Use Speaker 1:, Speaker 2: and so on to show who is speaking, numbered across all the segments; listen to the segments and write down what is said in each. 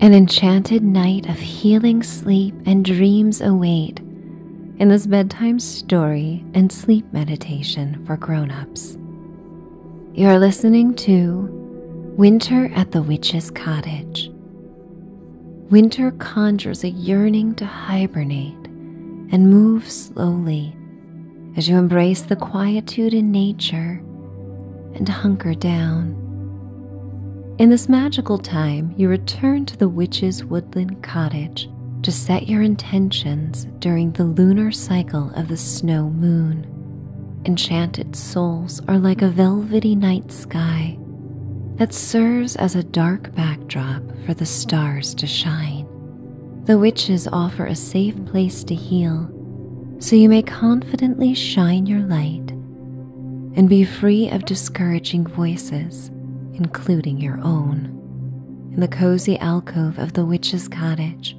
Speaker 1: An enchanted night of healing sleep and dreams await in this bedtime story and sleep meditation for grown-ups. You are listening to Winter at the Witch's Cottage. Winter conjures a yearning to hibernate and move slowly as you embrace the quietude in nature and hunker down. In this magical time, you return to the witch's woodland cottage to set your intentions during the lunar cycle of the snow moon. Enchanted souls are like a velvety night sky that serves as a dark backdrop for the stars to shine. The witches offer a safe place to heal so you may confidently shine your light and be free of discouraging voices, including your own. In the cozy alcove of the witch's cottage,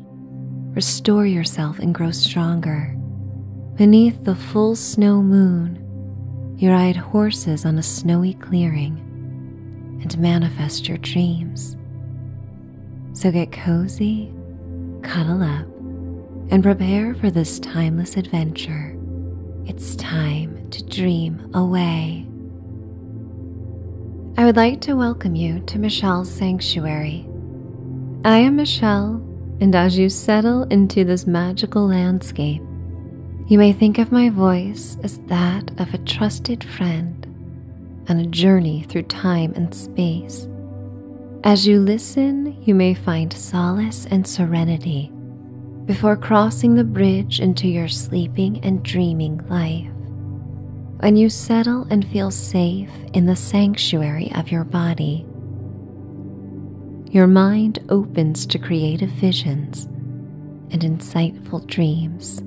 Speaker 1: restore yourself and grow stronger. Beneath the full snow moon, you ride horses on a snowy clearing and manifest your dreams. So get cozy, cuddle up and prepare for this timeless adventure. It's time to dream away. I would like to welcome you to Michelle's Sanctuary. I am Michelle, and as you settle into this magical landscape, you may think of my voice as that of a trusted friend on a journey through time and space as you listen, you may find solace and serenity before crossing the bridge into your sleeping and dreaming life, when you settle and feel safe in the sanctuary of your body. Your mind opens to creative visions and insightful dreams.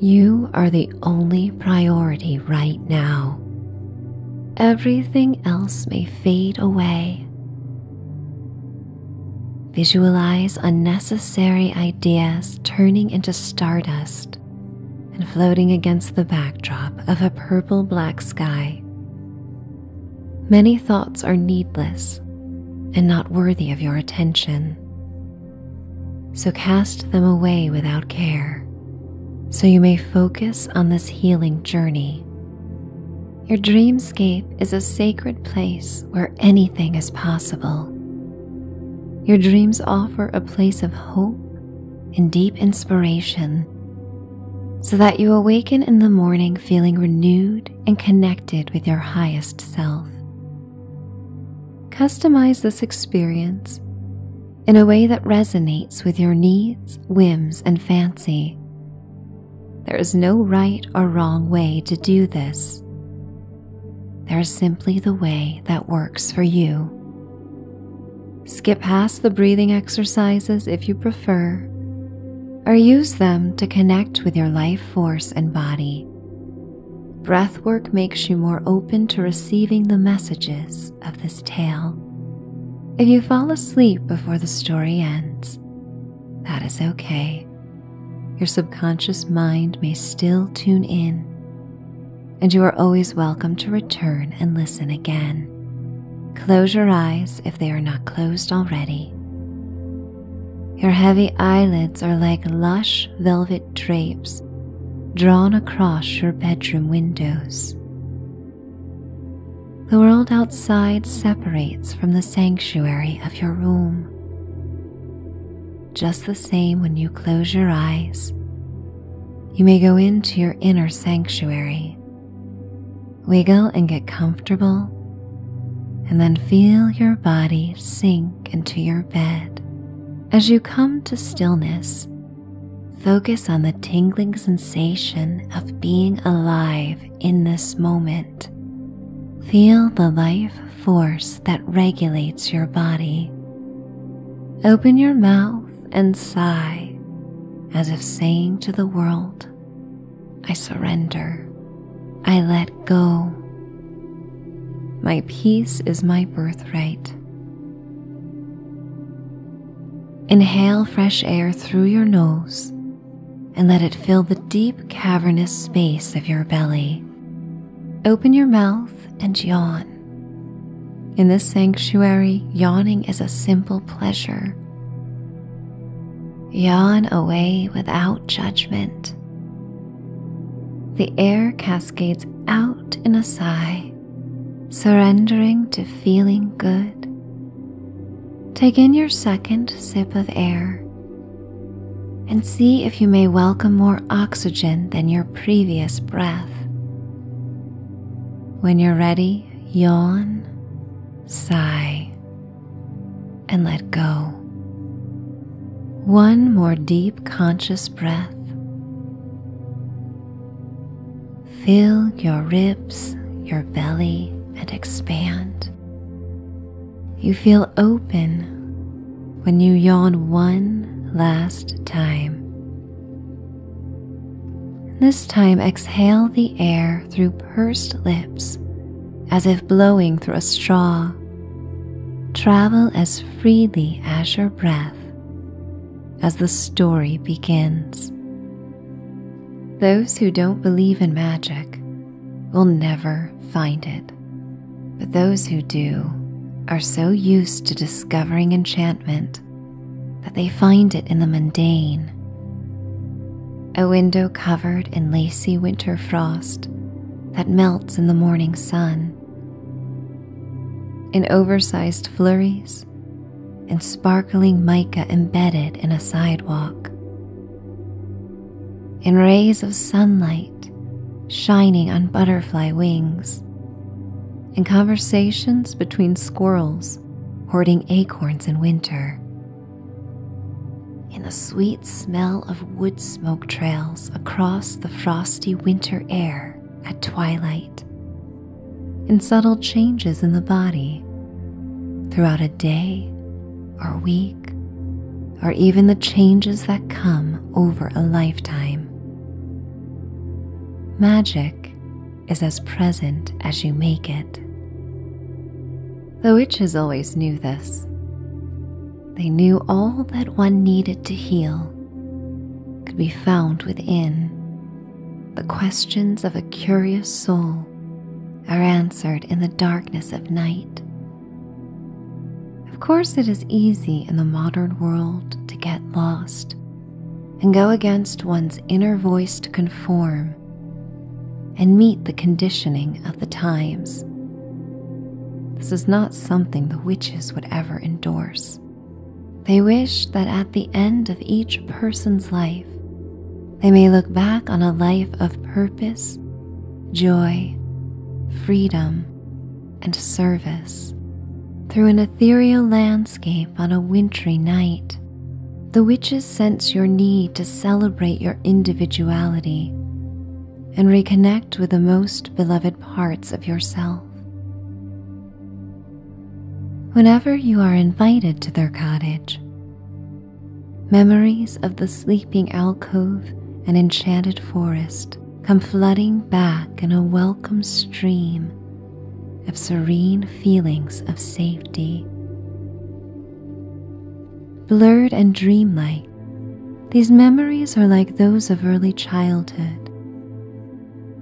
Speaker 1: You are the only priority right now everything else may fade away. Visualize unnecessary ideas turning into stardust and floating against the backdrop of a purple black sky. Many thoughts are needless and not worthy of your attention, so cast them away without care so you may focus on this healing journey. Your dreamscape is a sacred place where anything is possible. Your dreams offer a place of hope and deep inspiration so that you awaken in the morning feeling renewed and connected with your highest self. Customize this experience in a way that resonates with your needs, whims, and fancy. There is no right or wrong way to do this. There is simply the way that works for you. Skip past the breathing exercises if you prefer, or use them to connect with your life force and body. Breathwork makes you more open to receiving the messages of this tale. If you fall asleep before the story ends, that is okay. Your subconscious mind may still tune in, and you are always welcome to return and listen again. Close your eyes if they are not closed already. Your heavy eyelids are like lush velvet drapes drawn across your bedroom windows. The world outside separates from the sanctuary of your room. Just the same when you close your eyes, you may go into your inner sanctuary, wiggle and get comfortable, and then feel your body sink into your bed. As you come to stillness, Focus on the tingling sensation of being alive in this moment. Feel the life force that regulates your body. Open your mouth and sigh as if saying to the world, I surrender. I let go. My peace is my birthright. Inhale fresh air through your nose and let it fill the deep cavernous space of your belly. Open your mouth and yawn. In this sanctuary, yawning is a simple pleasure. Yawn away without judgment. The air cascades out in a sigh surrendering to feeling good. Take in your second sip of air and see if you may welcome more oxygen than your previous breath. When you're ready, yawn, sigh, and let go. One more deep conscious breath. Feel your ribs, your belly, and expand. You feel open when you yawn one last time. This time, exhale the air through pursed lips as if blowing through a straw. Travel as freely as your breath as the story begins. Those who don't believe in magic will never find it, but those who do are so used to discovering enchantment that they find it in the mundane. A window covered in lacy winter frost that melts in the morning sun. In oversized flurries stars and sparkling mica embedded in a sidewalk, in rays of sunlight shining on butterfly wings, in conversations between squirrels hoarding acorns in winter, in the sweet smell of wood smoke trails across the frosty winter air at twilight and subtle changes in the body throughout a day or week or even the changes that come over a lifetime. Magic is as present as you make it. The witches always knew this. They knew all that one needed to heal could be found within the questions of a curious soul are answered in the darkness of night. Of course, it is easy in the modern world to get lost and go against one's inner voice to conform and meet the conditioning of the times. This is not something the witches would ever endorse. They wish that at the end of each person's life, they may look back on a life of purpose, joy, freedom, and service through an ethereal landscape on a wintry night. The witches sense your need to celebrate your individuality and reconnect with the most beloved parts of yourself. Whenever you are invited to their cottage, memories of the sleeping alcove and enchanted forest come flooding back in a welcome stream of serene feelings of safety. Blurred and dreamlike, these memories are like those of early childhood,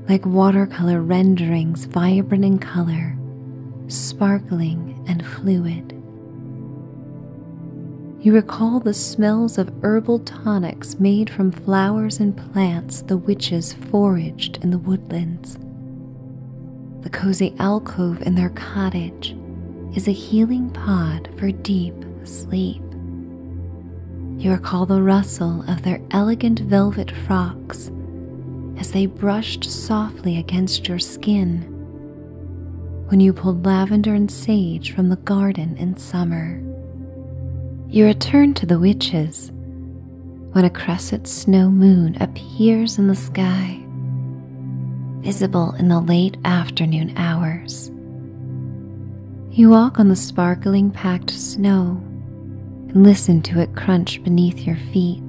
Speaker 1: like watercolor renderings vibrant in color, sparkling and fluid. You recall the smells of herbal tonics made from flowers and plants the witches foraged in the woodlands. The cozy alcove in their cottage is a healing pod for deep sleep. You recall the rustle of their elegant velvet frocks as they brushed softly against your skin when you pulled lavender and sage from the garden in summer. You return to the witches when a crescent snow moon appears in the sky, visible in the late afternoon hours. You walk on the sparkling packed snow and listen to it crunch beneath your feet.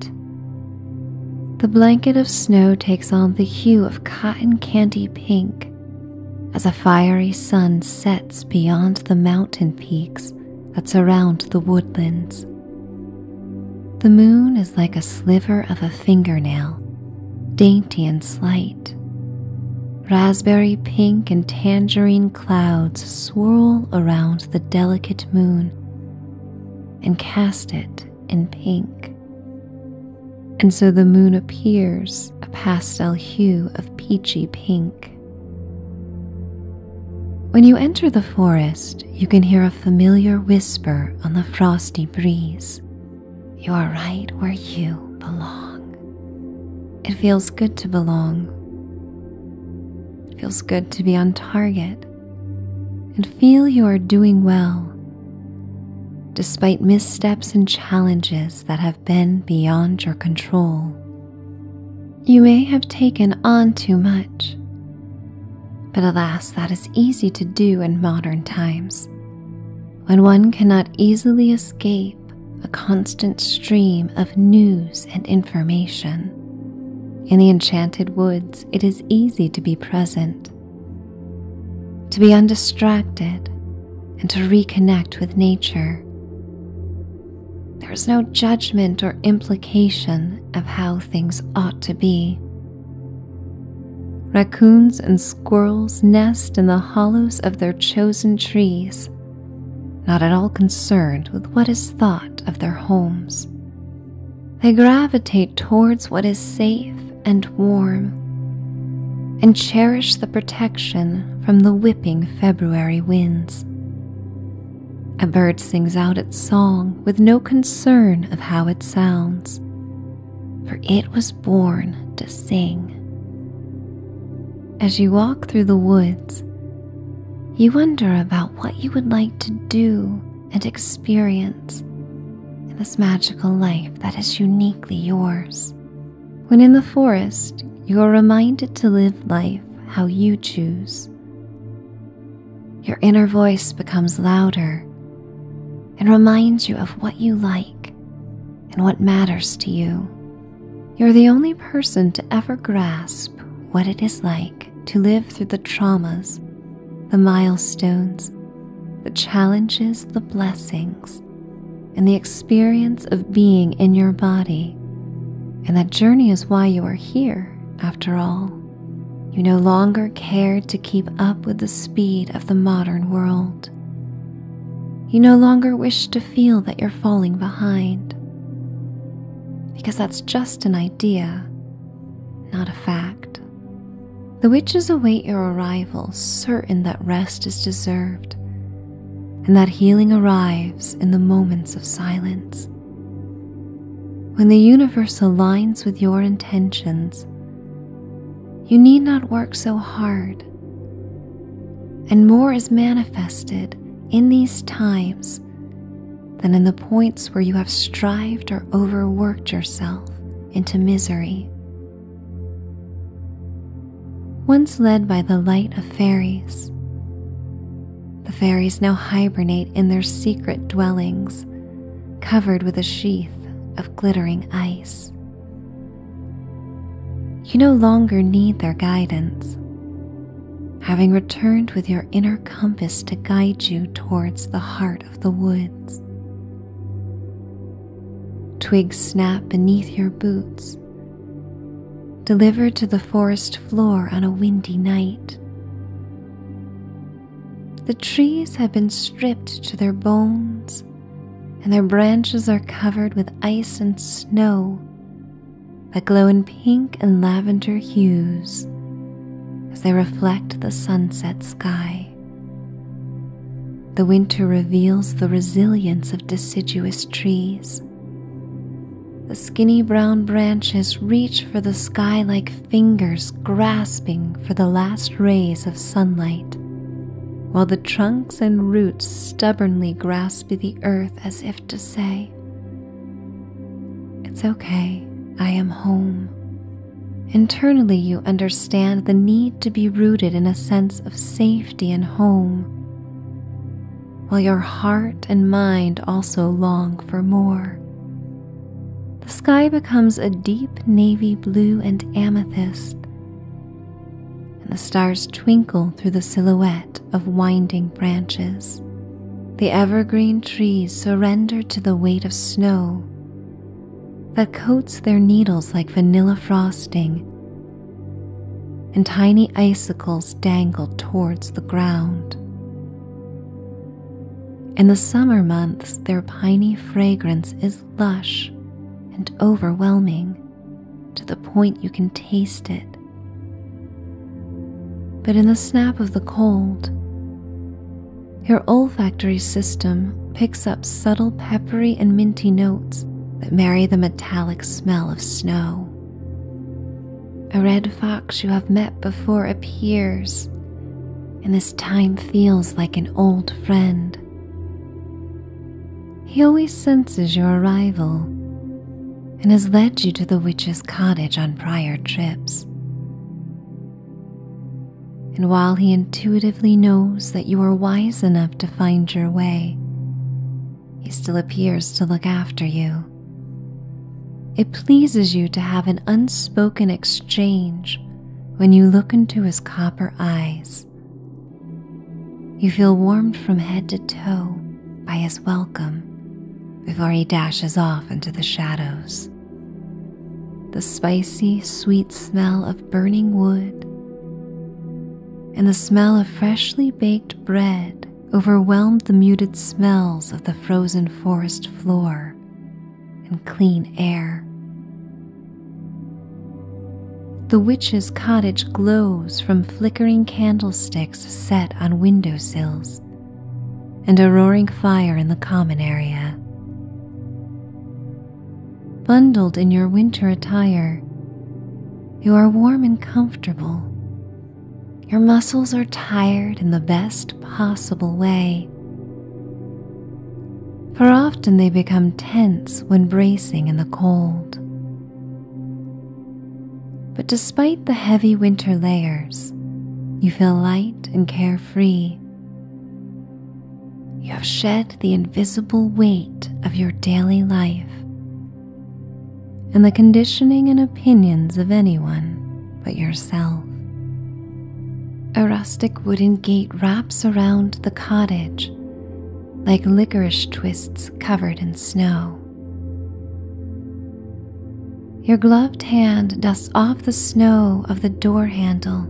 Speaker 1: The blanket of snow takes on the hue of cotton candy pink as a fiery sun sets beyond the mountain peaks that surround the woodlands. The moon is like a sliver of a fingernail, dainty and slight. Raspberry pink and tangerine clouds swirl around the delicate moon and cast it in pink. And so the moon appears a pastel hue of peachy pink. When you enter the forest, you can hear a familiar whisper on the frosty breeze. You are right where you belong. It feels good to belong. It feels good to be on target and feel you are doing well despite missteps and challenges that have been beyond your control. You may have taken on too much, but alas, that is easy to do in modern times when one cannot easily escape a constant stream of news and information. In the enchanted woods, it is easy to be present, to be undistracted, and to reconnect with nature. There is no judgment or implication of how things ought to be. Raccoons and squirrels nest in the hollows of their chosen trees not at all concerned with what is thought of their homes. They gravitate towards what is safe and warm and cherish the protection from the whipping February winds. A bird sings out its song with no concern of how it sounds, for it was born to sing. As you walk through the woods, you wonder about what you would like to do and experience in this magical life that is uniquely yours. When in the forest, you are reminded to live life how you choose. Your inner voice becomes louder and reminds you of what you like and what matters to you. You're the only person to ever grasp what it is like to live through the traumas, the milestones, the challenges, the blessings, and the experience of being in your body. And that journey is why you are here, after all. You no longer cared to keep up with the speed of the modern world. You no longer wished to feel that you're falling behind. Because that's just an idea, not a fact. The witches await your arrival, certain that rest is deserved and that healing arrives in the moments of silence. When the universe aligns with your intentions, you need not work so hard and more is manifested in these times than in the points where you have strived or overworked yourself into misery. Once led by the light of fairies, the fairies now hibernate in their secret dwellings, covered with a sheath of glittering ice you no longer need their guidance. Having returned with your inner compass to guide you towards the heart of the woods. Twigs snap beneath your boots, delivered to the forest floor on a windy night. The trees have been stripped to their bones, and their branches are covered with ice and snow that glow in pink and lavender hues as they reflect the sunset sky. The winter reveals the resilience of deciduous trees. The skinny brown branches reach for the sky like fingers grasping for the last rays of sunlight, while the trunks and roots stubbornly grasp the earth as if to say, It's okay, I am home. Internally, you understand the need to be rooted in a sense of safety and home, while your heart and mind also long for more. The sky becomes a deep navy blue and amethyst, and the stars twinkle through the silhouette of winding branches. The evergreen trees surrender to the weight of snow that coats their needles like vanilla frosting, and tiny icicles dangle towards the ground. In the summer months, their piney fragrance is lush and overwhelming to the point you can taste it. But in the snap of the cold, your olfactory system picks up subtle peppery and minty notes that marry the metallic smell of snow. A red fox you have met before appears, and this time feels like an old friend. He always senses your arrival and has led you to the witch's cottage on prior trips. And while he intuitively knows that you are wise enough to find your way, he still appears to look after you. It pleases you to have an unspoken exchange when you look into his copper eyes you feel warmed from head to toe by his welcome before he dashes off into the shadows. The spicy, sweet smell of burning wood and the smell of freshly baked bread overwhelmed the muted smells of the frozen forest floor and clean air. The witch's cottage glows from flickering candlesticks set on window sills, and a roaring fire in the common area. Bundled in your winter attire, you are warm and comfortable. Your muscles are tired in the best possible way, for often they become tense when bracing in the cold. But despite the heavy winter layers, you feel light and carefree. You have shed the invisible weight of your daily life and the conditioning and opinions of anyone but yourself. A rustic wooden gate wraps around the cottage like licorice twists covered in snow. Your gloved hand dusts off the snow of the door handle,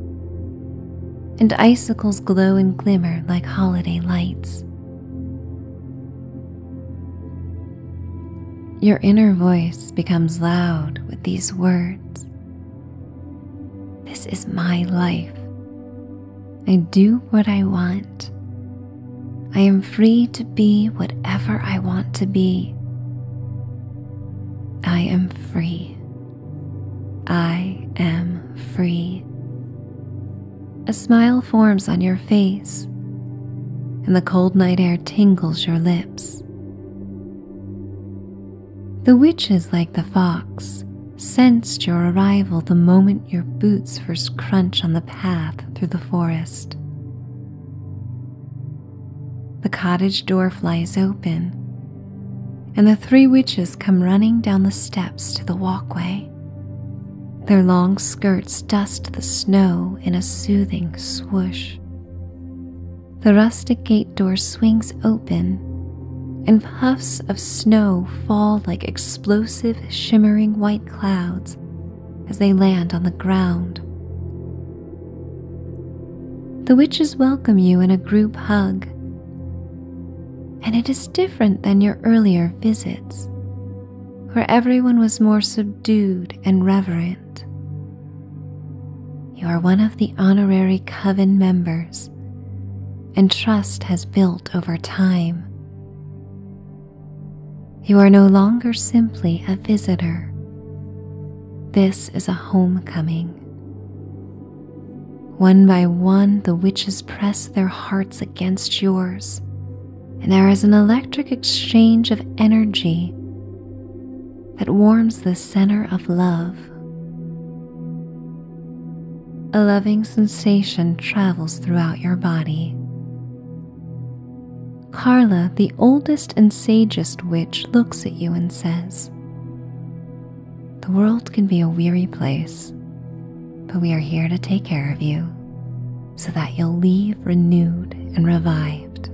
Speaker 1: and icicles glow and glimmer like holiday lights. Your inner voice becomes loud with these words This is my life. I do what I want. I am free to be whatever I want to be. I am free. I am free. A smile forms on your face, and the cold night air tingles your lips. The witches, like the fox, sensed your arrival the moment your boots first crunch on the path through the forest. The cottage door flies open, and the three witches come running down the steps to the walkway. Their long skirts dust the snow in a soothing swoosh. The rustic gate door swings open, and puffs of snow fall like explosive, shimmering white clouds as they land on the ground. The witches welcome you in a group hug, and it is different than your earlier visits, where everyone was more subdued and reverent. You are one of the honorary coven members, and trust has built over time. You are no longer simply a visitor. This is a homecoming. One by one, the witches press their hearts against yours, and there is an electric exchange of energy that warms the center of love a loving sensation travels throughout your body. Carla, the oldest and sagest witch, looks at you and says, The world can be a weary place, but we are here to take care of you so that you'll leave renewed and revived.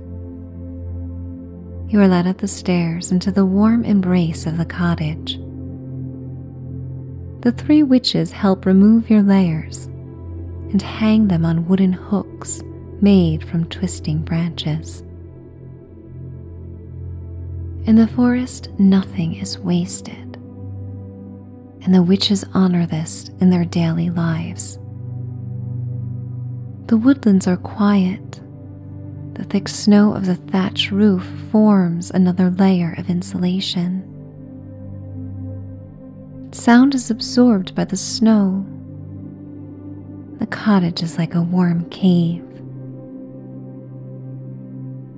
Speaker 1: You are led up the stairs into the warm embrace of the cottage. The three witches help remove your layers and hang them on wooden hooks made from twisting branches. In the forest, nothing is wasted, and the witches honor this in their daily lives. The woodlands are quiet. The thick snow of the thatch roof forms another layer of insulation. Sound is absorbed by the snow. The cottage is like a warm cave.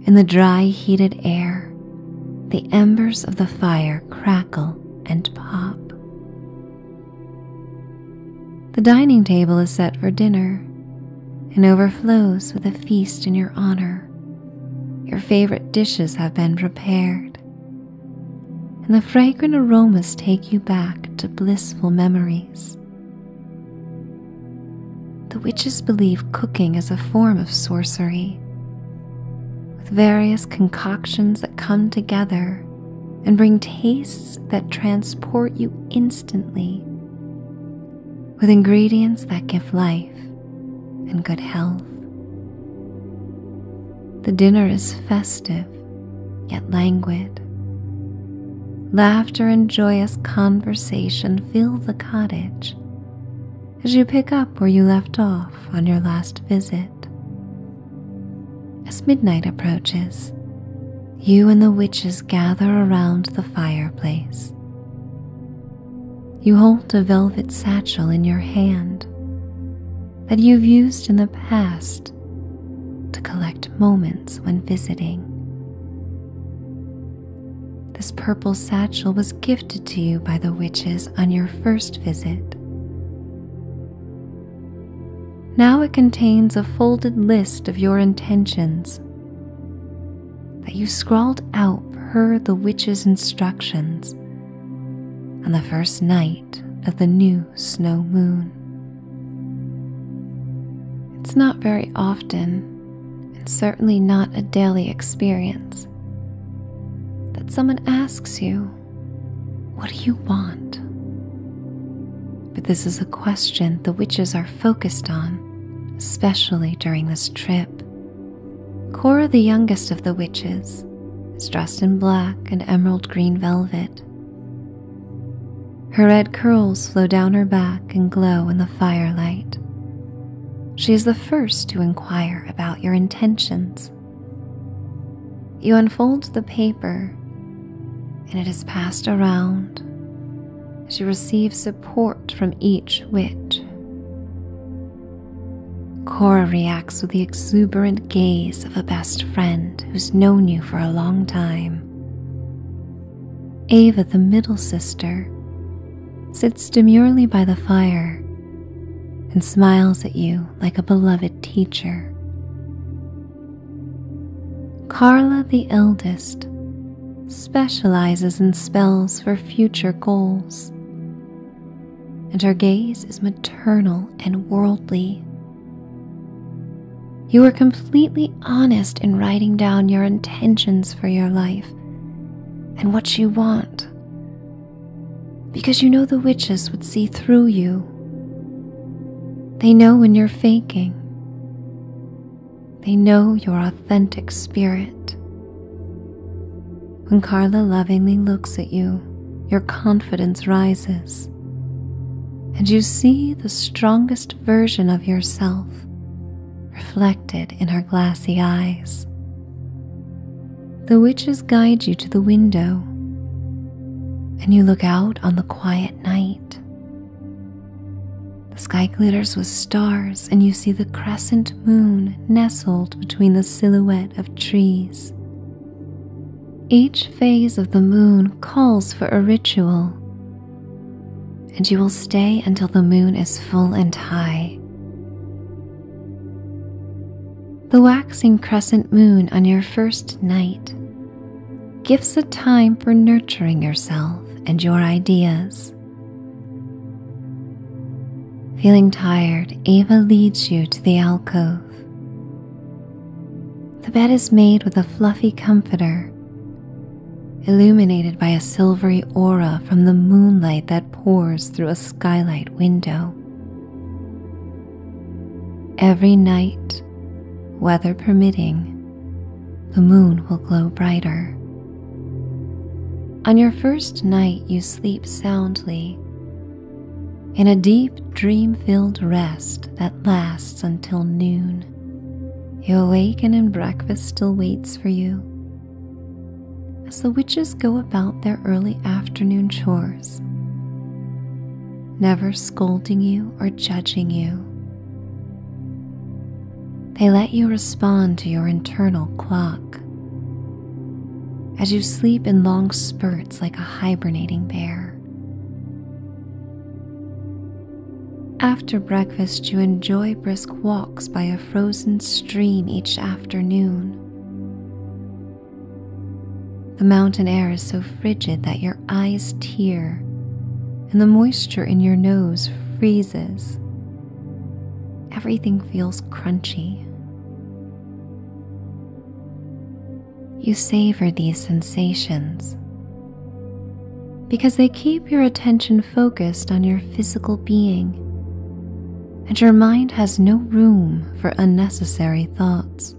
Speaker 1: In the dry, heated air, the embers of the fire crackle and pop. The dining table is set for dinner and overflows with a feast in your honor your favorite dishes have been prepared, and the fragrant aromas take you back to blissful memories. The witches believe cooking is a form of sorcery, with various concoctions that come together and bring tastes that transport you instantly with ingredients that give life and good health. The dinner is festive yet languid. Laughter and joyous conversation fill the cottage as you pick up where you left off on your last visit. As midnight approaches, you and the witches gather around the fireplace, you hold a velvet satchel in your hand that you've used in the past to collect moments when visiting. This purple satchel was gifted to you by the witches on your first visit. Now it contains a folded list of your intentions that you scrawled out per the witch's instructions on the first night of the new snow moon. It's not very often, and certainly not a daily experience, that someone asks you, What do you want? But this is a question the witches are focused on, especially during this trip, Cora, the youngest of the witches, is dressed in black and emerald green velvet. Her red curls flow down her back and glow in the firelight. She is the first to inquire about your intentions. You unfold the paper, and it is passed around. She receives support from each witch. Cora reacts with the exuberant gaze of a best friend who's known you for a long time. Ava, the middle sister, sits demurely by the fire and smiles at you like a beloved teacher. Carla, the eldest, specializes in spells for future goals and her gaze is maternal and worldly. You are completely honest in writing down your intentions for your life and what you want, because you know the witches would see through you. They know when you're faking, they know you're authentic spirit. When Carla lovingly looks at you, your confidence rises, and you see the strongest version of yourself reflected in her glassy eyes. The witches guide you to the window, and you look out on the quiet night. The sky glitters with stars, and you see the crescent moon nestled between the silhouette of trees. Each phase of the moon calls for a ritual, and you will stay until the moon is full and high. The waxing crescent moon on your first night gives a time for nurturing yourself and your ideas. Feeling tired, Eva leads you to the alcove. The bed is made with a fluffy comforter, illuminated by a silvery aura from the moonlight that pours through a skylight window. Every night, weather permitting, the moon will glow brighter. On your first night, you sleep soundly in a deep, dream filled rest that lasts until noon. You awaken and breakfast still waits for you. As the witches go about their early afternoon chores, never scolding you or judging you, they let you respond to your internal clock. As you sleep in long spurts like a hibernating bear. After breakfast, you enjoy brisk walks by a frozen stream each afternoon. The mountain air is so frigid that your eyes tear and the moisture in your nose freezes Everything feels crunchy. You savor these sensations because they keep your attention focused on your physical being, and your mind has no room for unnecessary thoughts.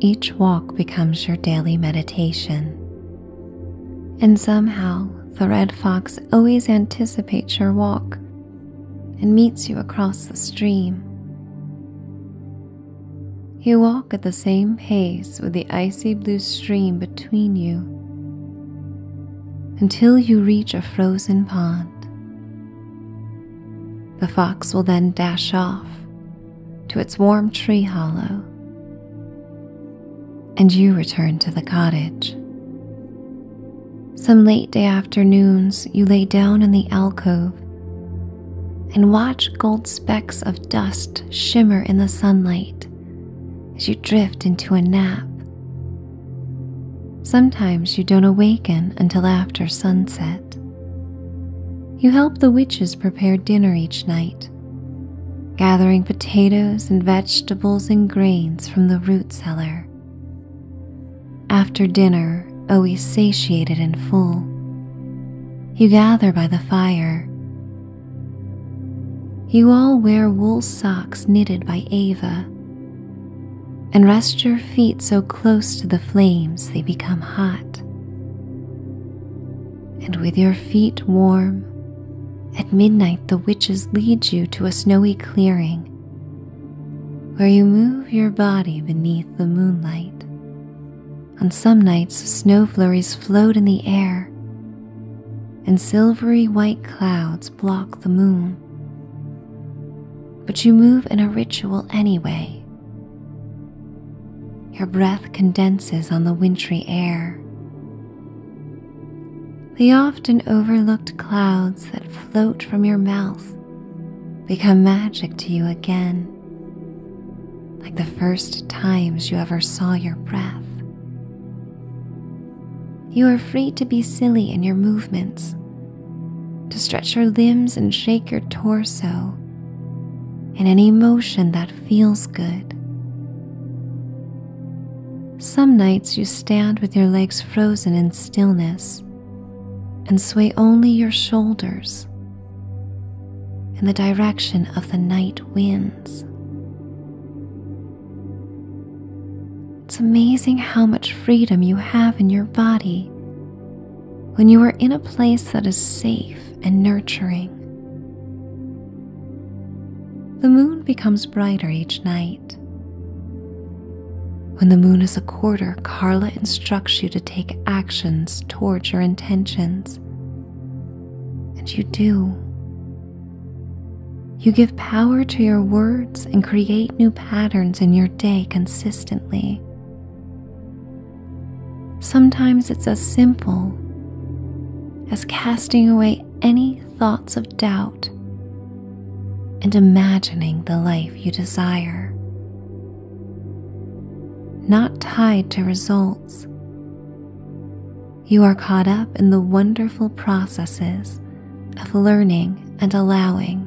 Speaker 1: Each walk becomes your daily meditation and somehow the red fox always anticipates your walk and meets you across the stream. You walk at the same pace with the icy blue stream between you until you reach a frozen pond. The fox will then dash off to its warm tree hollow and you return to the cottage. Some late day afternoons, you lay down in the alcove and watch gold specks of dust shimmer in the sunlight as you drift into a nap. Sometimes you don't awaken until after sunset. You help the witches prepare dinner each night gathering potatoes and vegetables and grains from the root cellar. After dinner, always satiated and full, you gather by the fire. You all wear wool socks knitted by Ava and rest your feet so close to the flames they become hot. And with your feet warm, at midnight, the witches lead you to a snowy clearing where you move your body beneath the moonlight. On some nights, snowflurries float in the air, and silvery white clouds block the moon. But you move in a ritual anyway. Your breath condenses on the wintry air, the often overlooked clouds that float from your mouth become magic to you again, like the first times you ever saw your breath. You are free to be silly in your movements, to stretch your limbs and shake your torso in any motion that feels good. Some nights you stand with your legs frozen in stillness and sway only your shoulders in the direction of the night winds. It's amazing how much freedom you have in your body when you are in a place that is safe and nurturing. The moon becomes brighter each night. When the moon is a quarter, Carla instructs you to take actions towards your intentions. And you do. You give power to your words and create new patterns in your day consistently. Sometimes it's as simple as casting away any thoughts of doubt and imagining the life you desire. Not tied to results, you are caught up in the wonderful processes of learning and allowing.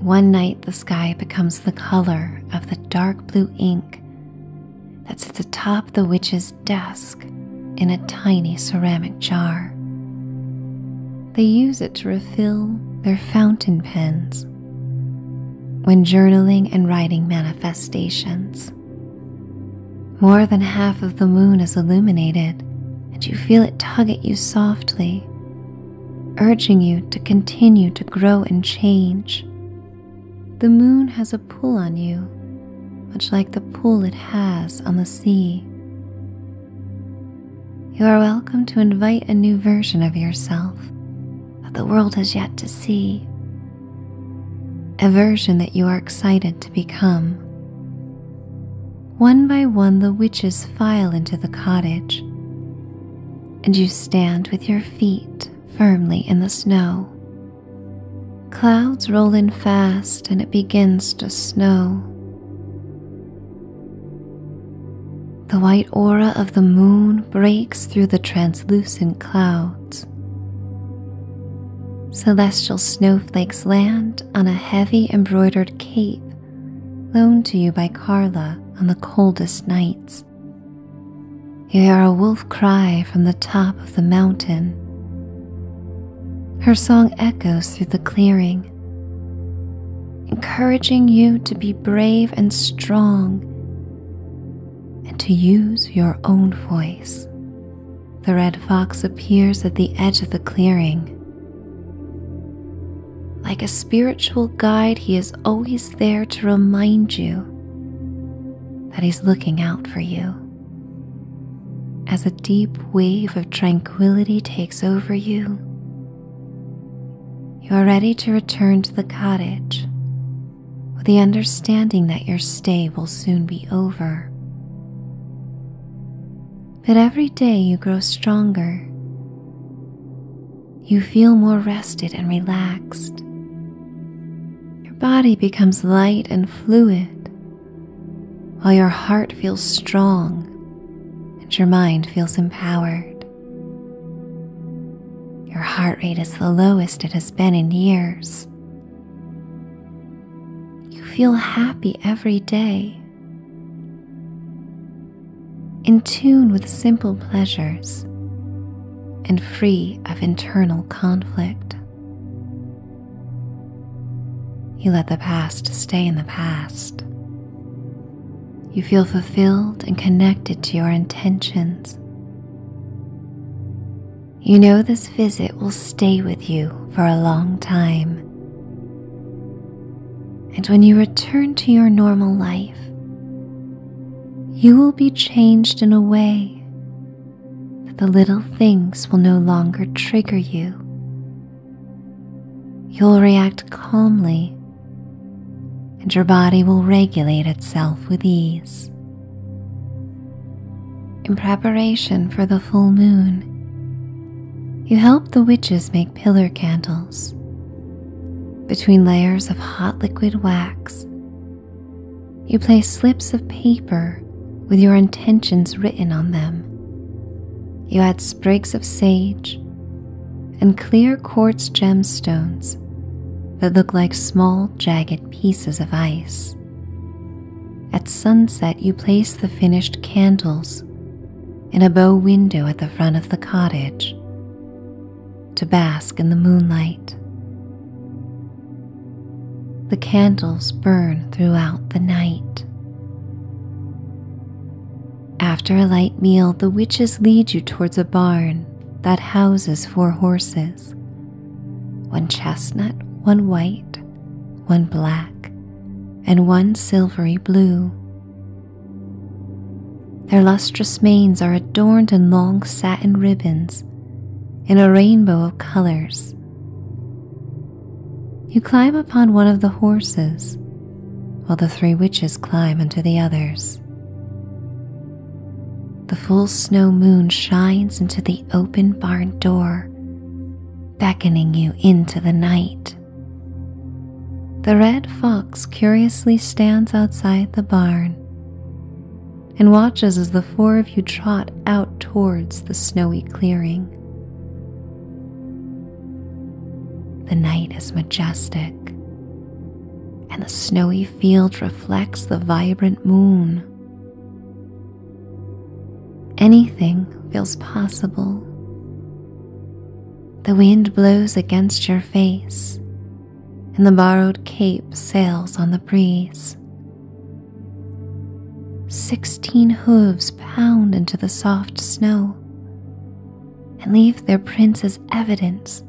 Speaker 1: One night, the sky becomes the color of the dark blue ink that sits atop the witch's his desk in a tiny ceramic jar. They use it to refill their fountain pens when journaling and writing manifestations. More than half of the moon is illuminated, and you feel it tug at you softly, urging you to continue to grow and change the moon has a pull on you, much like the pull it has on the sea. You are welcome to invite a new version of yourself that the world has yet to see, a version that you are excited to become. One by one, the witches file into the cottage, and you stand with your feet firmly in the snow, Clouds roll in fast and it begins to snow. The white aura of the moon breaks through the translucent clouds. Celestial snowflakes land on a heavy embroidered cape loaned to you by Carla on the coldest nights. You hear a wolf cry from the top of the mountain. Her song echoes through the clearing, encouraging you to be brave and strong and to use your own voice. The red fox appears at the edge of the clearing. Like a spiritual guide, he is always there to remind you that he's looking out for you. As a deep wave of tranquility takes over you, you are ready to return to the cottage with the understanding that your stay will soon be over. But every day you grow stronger. You feel more rested and relaxed, your body becomes light and fluid, while your heart feels strong and your mind feels empowered. Your heart rate is the lowest it has been in years. You feel happy every day, in tune with simple pleasures and free of internal conflict. You let the past stay in the past. You feel fulfilled and connected to your intentions. You know this visit will stay with you for a long time. And when you return to your normal life, you will be changed in a way that the little things will no longer trigger you. You'll react calmly, and your body will regulate itself with ease. In preparation for the full moon, you help the witches make pillar candles. Between layers of hot liquid wax you place slips of paper with your intentions written on them. You add sprigs of sage and clear quartz gemstones that look like small, jagged pieces of ice. At sunset, you place the finished candles in a bow window at the front of the cottage to bask in the moonlight. The candles burn throughout the night. After a light meal, the witches lead you towards a barn that houses four horses one chestnut, one white, one black, and one silvery blue. Their lustrous manes are adorned in long satin ribbons in a rainbow of colors. You climb upon one of the horses while the three witches climb onto the others. The full snow moon shines into the open barn door, beckoning you into the night. The red fox curiously stands outside the barn, and watches as the four of you trot out towards the snowy clearing. The night is majestic, and the snowy field reflects the vibrant moon. Anything feels possible. The wind blows against your face, and the borrowed cape sails on the breeze. Sixteen hooves pound into the soft snow and leave their prints as evidence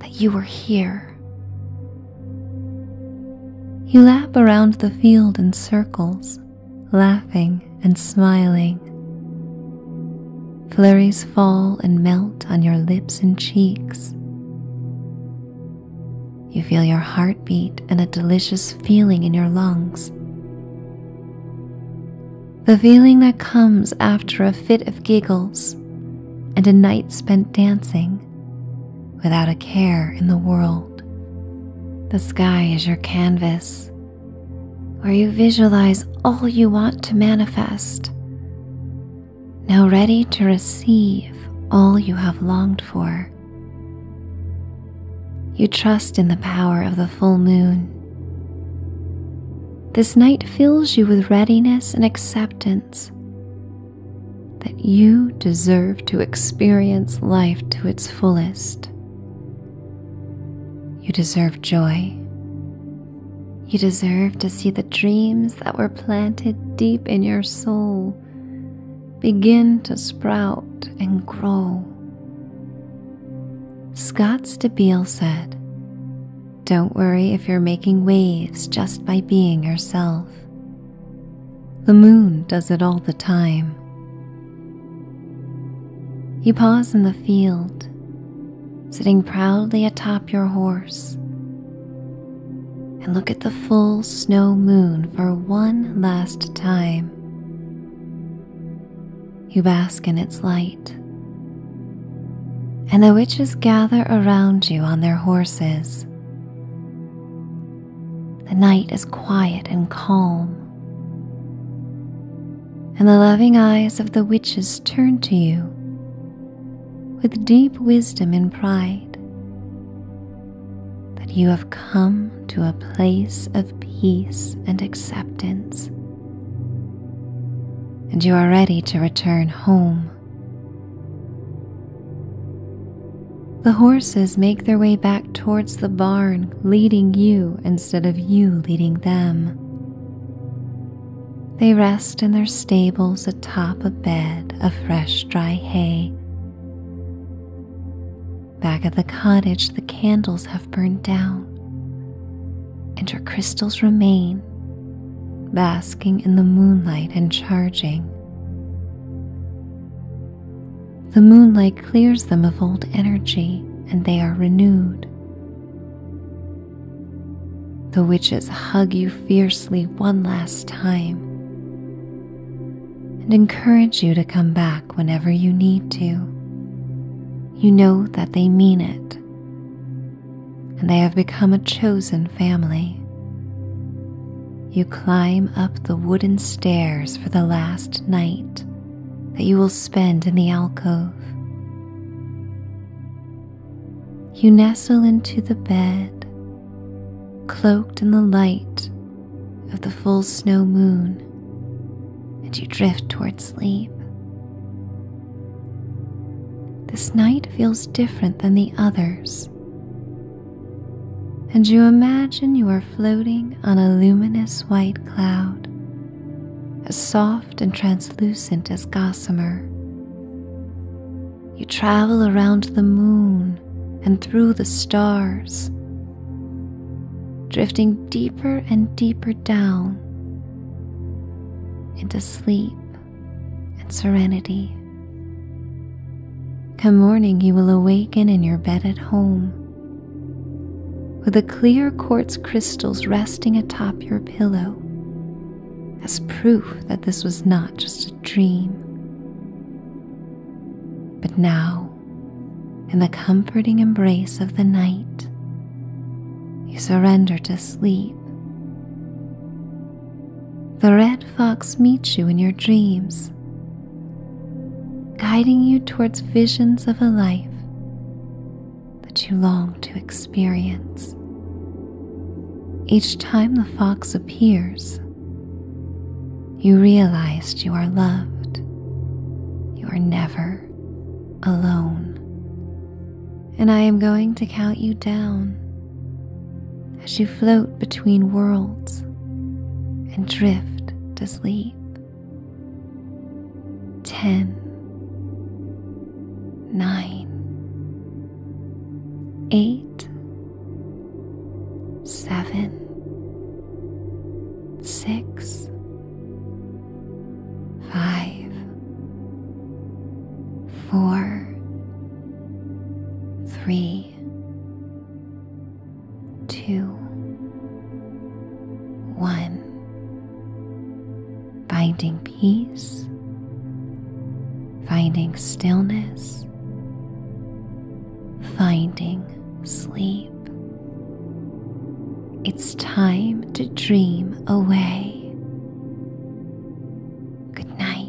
Speaker 1: that you were here. You lap around the field in circles, laughing and smiling. Flurries fall and melt on your lips and cheeks. You feel your heartbeat and a delicious feeling in your lungs. The feeling that comes after a fit of giggles and a night spent dancing without a care in the world. The sky is your canvas where you visualize all you want to manifest now ready to receive all you have longed for. You trust in the power of the full moon. This night fills you with readiness and acceptance that you deserve to experience life to its fullest. You deserve joy. You deserve to see the dreams that were planted deep in your soul begin to sprout and grow. Scott Stabile said, Don't worry if you're making waves just by being yourself. The moon does it all the time. You pause in the field, sitting proudly atop your horse, and look at the full snow moon for one last time. You bask in its light, and the witches gather around you on their horses. The night is quiet and calm, and the loving eyes of the witches turn to you with deep wisdom and pride that you have come to a place of peace and acceptance, and you are ready to return home. The horses make their way back towards the barn, leading you instead of you leading them. They rest in their stables Top a bed of fresh dry hay. Back at the cottage, the candles have burned down, and her crystals remain, basking in the moonlight and charging. The moonlight clears them of old energy, and they are renewed. The witches hug you fiercely one last time and encourage you to come back whenever you need to. You know that they mean it, and they have become a chosen family. You climb up the wooden stairs for the last night that you will spend in the alcove. You nestle into the bed cloaked in the light of the full snow moon, and you drift toward sleep. This night feels different than the others, and you imagine you are floating on a luminous white cloud, as soft and translucent as gossamer. You travel around the moon and through the stars, drifting deeper and deeper down into sleep and serenity. Come morning, you will awaken in your bed at home with the clear quartz crystals resting atop your pillow as proof that this was not just a dream. But now, in the comforting embrace of the night, you surrender to sleep. The red fox meets you in your dreams, guiding you towards visions of a life that you long to experience. Each time the fox appears, you realized you are loved. You are never alone. And I am going to count you down as you float between worlds and drift to sleep. Ten, nine, eight, seven, six, five, four, three, two, one. Finding peace, finding stillness finding sleep. It's time to dream away. Good night.